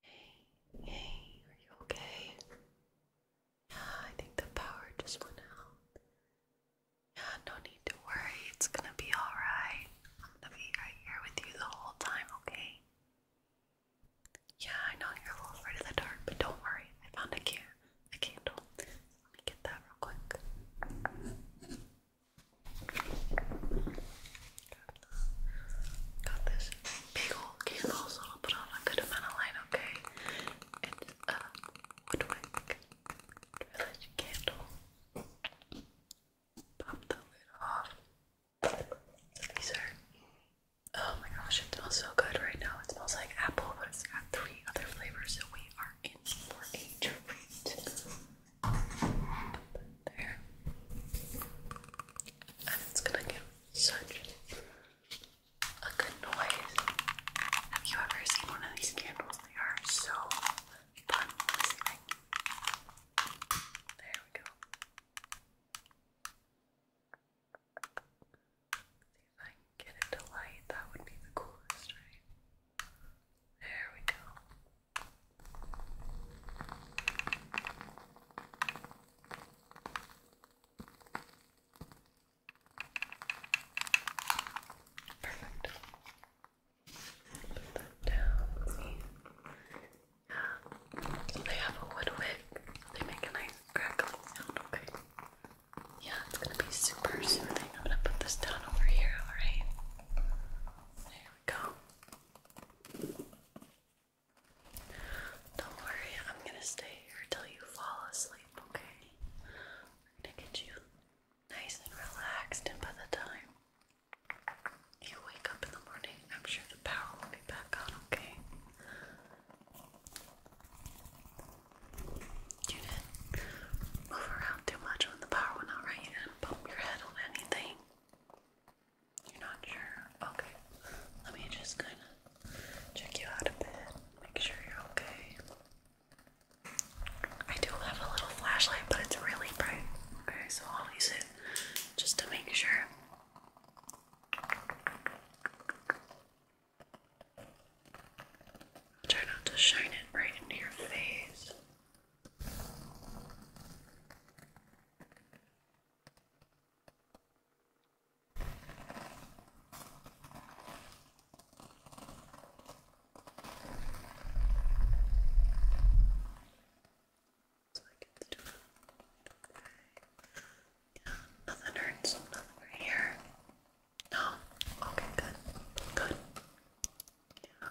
Hey, hey, are you okay? Yeah, I think the power just went out. Yeah, no need to worry. It's gonna be alright. I'm gonna be right here with you the whole time, okay? Yeah, I know you're afraid of the dark, but don't worry. I found a candle. A candle. Let me get that real quick. Got this big old candle, so I'll put on a good amount of light, okay? It's a Woodwick Village candle. Pop the lid off. These Oh my gosh, it smells so good right now. It smells like apple, but it's got three other flavors, so we are in for a treat. There it's gonna give such a good noise. Have you ever seen one of these candles? They are so fun There we go. See if I can get it to light, that would be the coolest, There we go. Perfect. Put that down. Yeah. they have a wood wick. They make a nice crackling sound, okay? Yeah, it's gonna be super soothing. I'm gonna put this down over here, alright? There we go. Don't worry, I'm gonna stay here till you fall asleep, okay? We're gonna get you nice and relaxed, and by the time you wake up in the morning, I'm sure the power will be back on, okay? You didn't move around too much when the power went out, right? You bump your head on anything. You're not sure? Okay. Let me just kind of check you out a bit, make sure you're okay. I do have a little flashlight, but it's really bright. Okay, so I'll use it just to make sure. try not to shine it right into your face. So I get the top. Okay. Yeah, nothing hurts. Nothing right here. No. Okay. Good. Good. Yeah.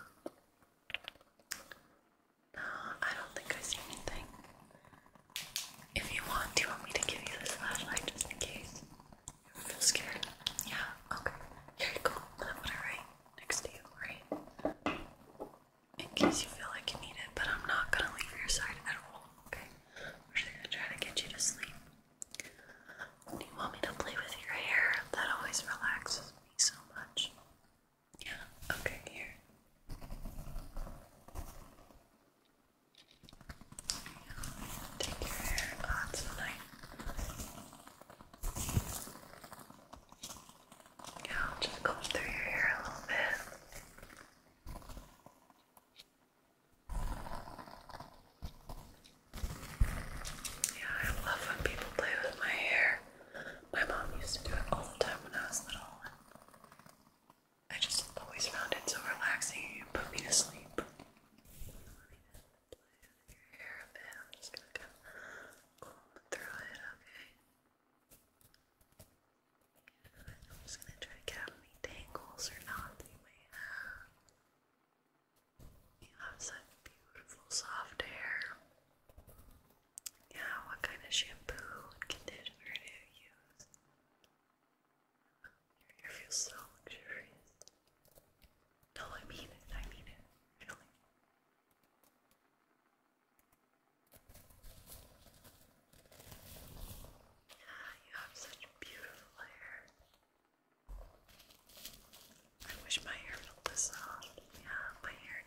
No, I don't think I see anything. If you want, do you want me to give you this flashlight just in case? You feel scared? Yeah, okay. Here you go. I'm gonna put next to you, right? In case you feel like you need it, but I'm not gonna leave your side at all, okay? We're just gonna try to get you to sleep. Do you want me to play with your hair? That always relaxes me so much. Yeah, okay, here. take your hair. Oh, that's Yeah, just comb through your hair a little bit. Yeah, I love when people play with my hair. My mom used to do it all the time when I was little. I just always found it so relaxing and put me to sleep. I'm just gonna kind through it, okay? I'm just gonna try to get out any tangles or knots you may have. You have such beautiful soft hair. Yeah, what kind of shampoo and conditioner do you use? Your hair feels so luxurious. No, I mean I mean it. Really. Yeah, you have such beautiful hair. I wish my hair felt this soft. Yeah, my hair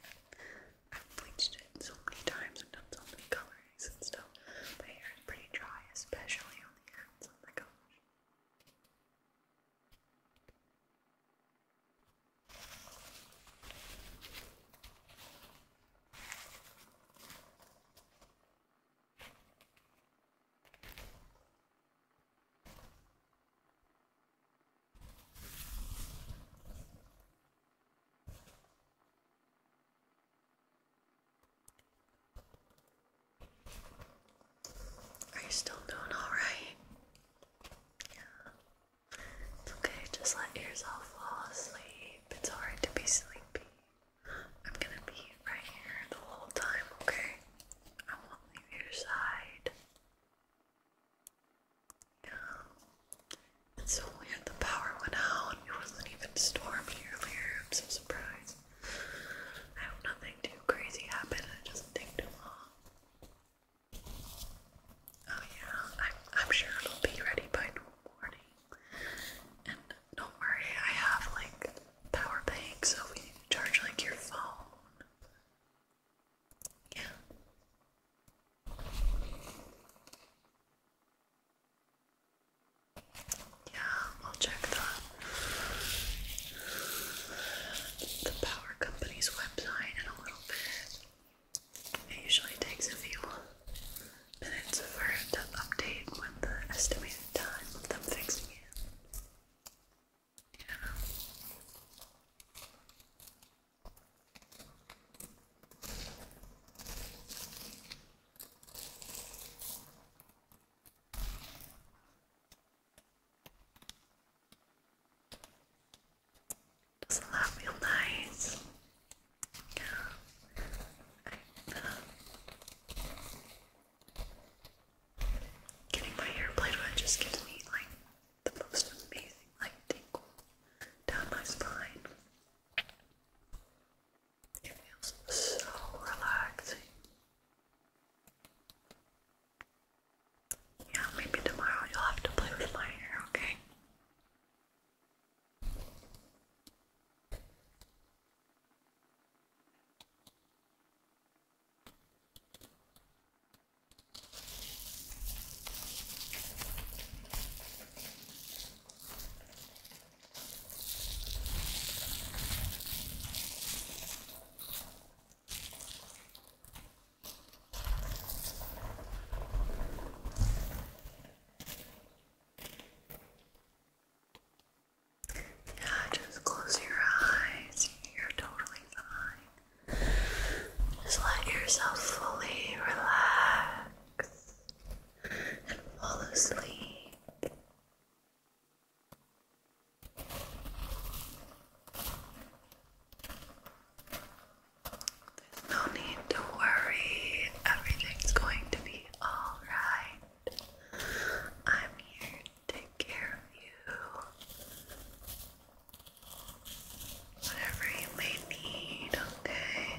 I've bleached it so many times I've done so many colorings and stuff. My hair is pretty dry, especially on the ends. On the gosh. Are you still doing alright? Yeah. It's okay, just let yourself fall asleep. It's hard to be sleepy. I'm gonna be right here the whole time, okay? I won't leave your side. It's so weird the power went out. It wasn't even stormed earlier. I'm so surprised. I nothing too crazy happened it doesn't take too long. Oh yeah, I'm, I'm sure it'll be ready by tomorrow morning. And don't worry, I have like power bank, so we need charge like your phone. Yeah, I'll check the, the power company's website in a little bit. It usually takes a few minutes for it to update with the estimated time of them fixing it. Yeah. Doesn't that feel nice? Yeah. getting my hair played with just gives me like the most amazing like tingle down my spine. It feels so relaxing. Yeah, maybe tomorrow you'll have to play with my hair, okay? Yeah, just close your eyes. You're totally fine. Just let yourself fully relax and fall asleep. There's no need to worry, everything's going to be alright. I'm here to care of you. Whatever you may need, okay?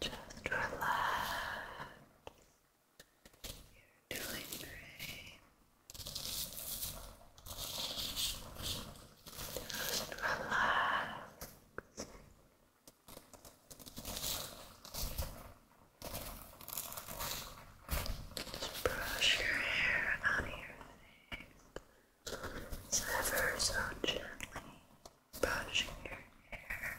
Just relax. You're doing great. Just relax. Just brush your hair out of your face. It's ever so gently brushing your hair.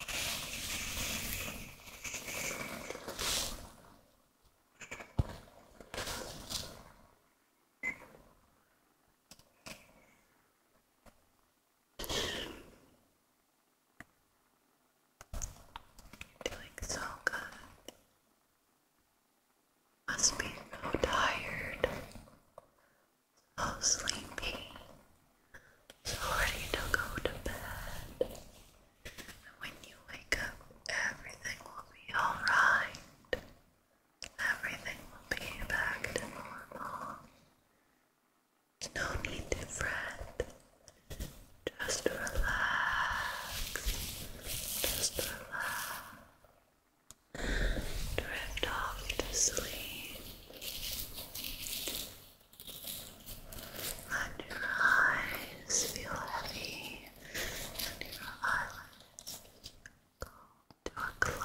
Doing so good. Must be so tired, so sleepy. So ready to go to bed. when you wake up, everything will be alright. Everything will be back to normal. no need to fret. Just relax. Just relax. Drift off to sleep. And your eyes feel heavy, your eyelids go to a close.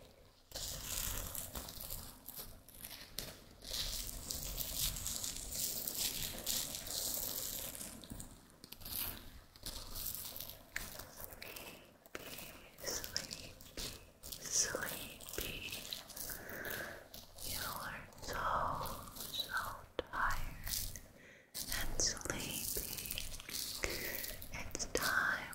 Sleepy, sleepy. You are so, so tired and sleepy. It's time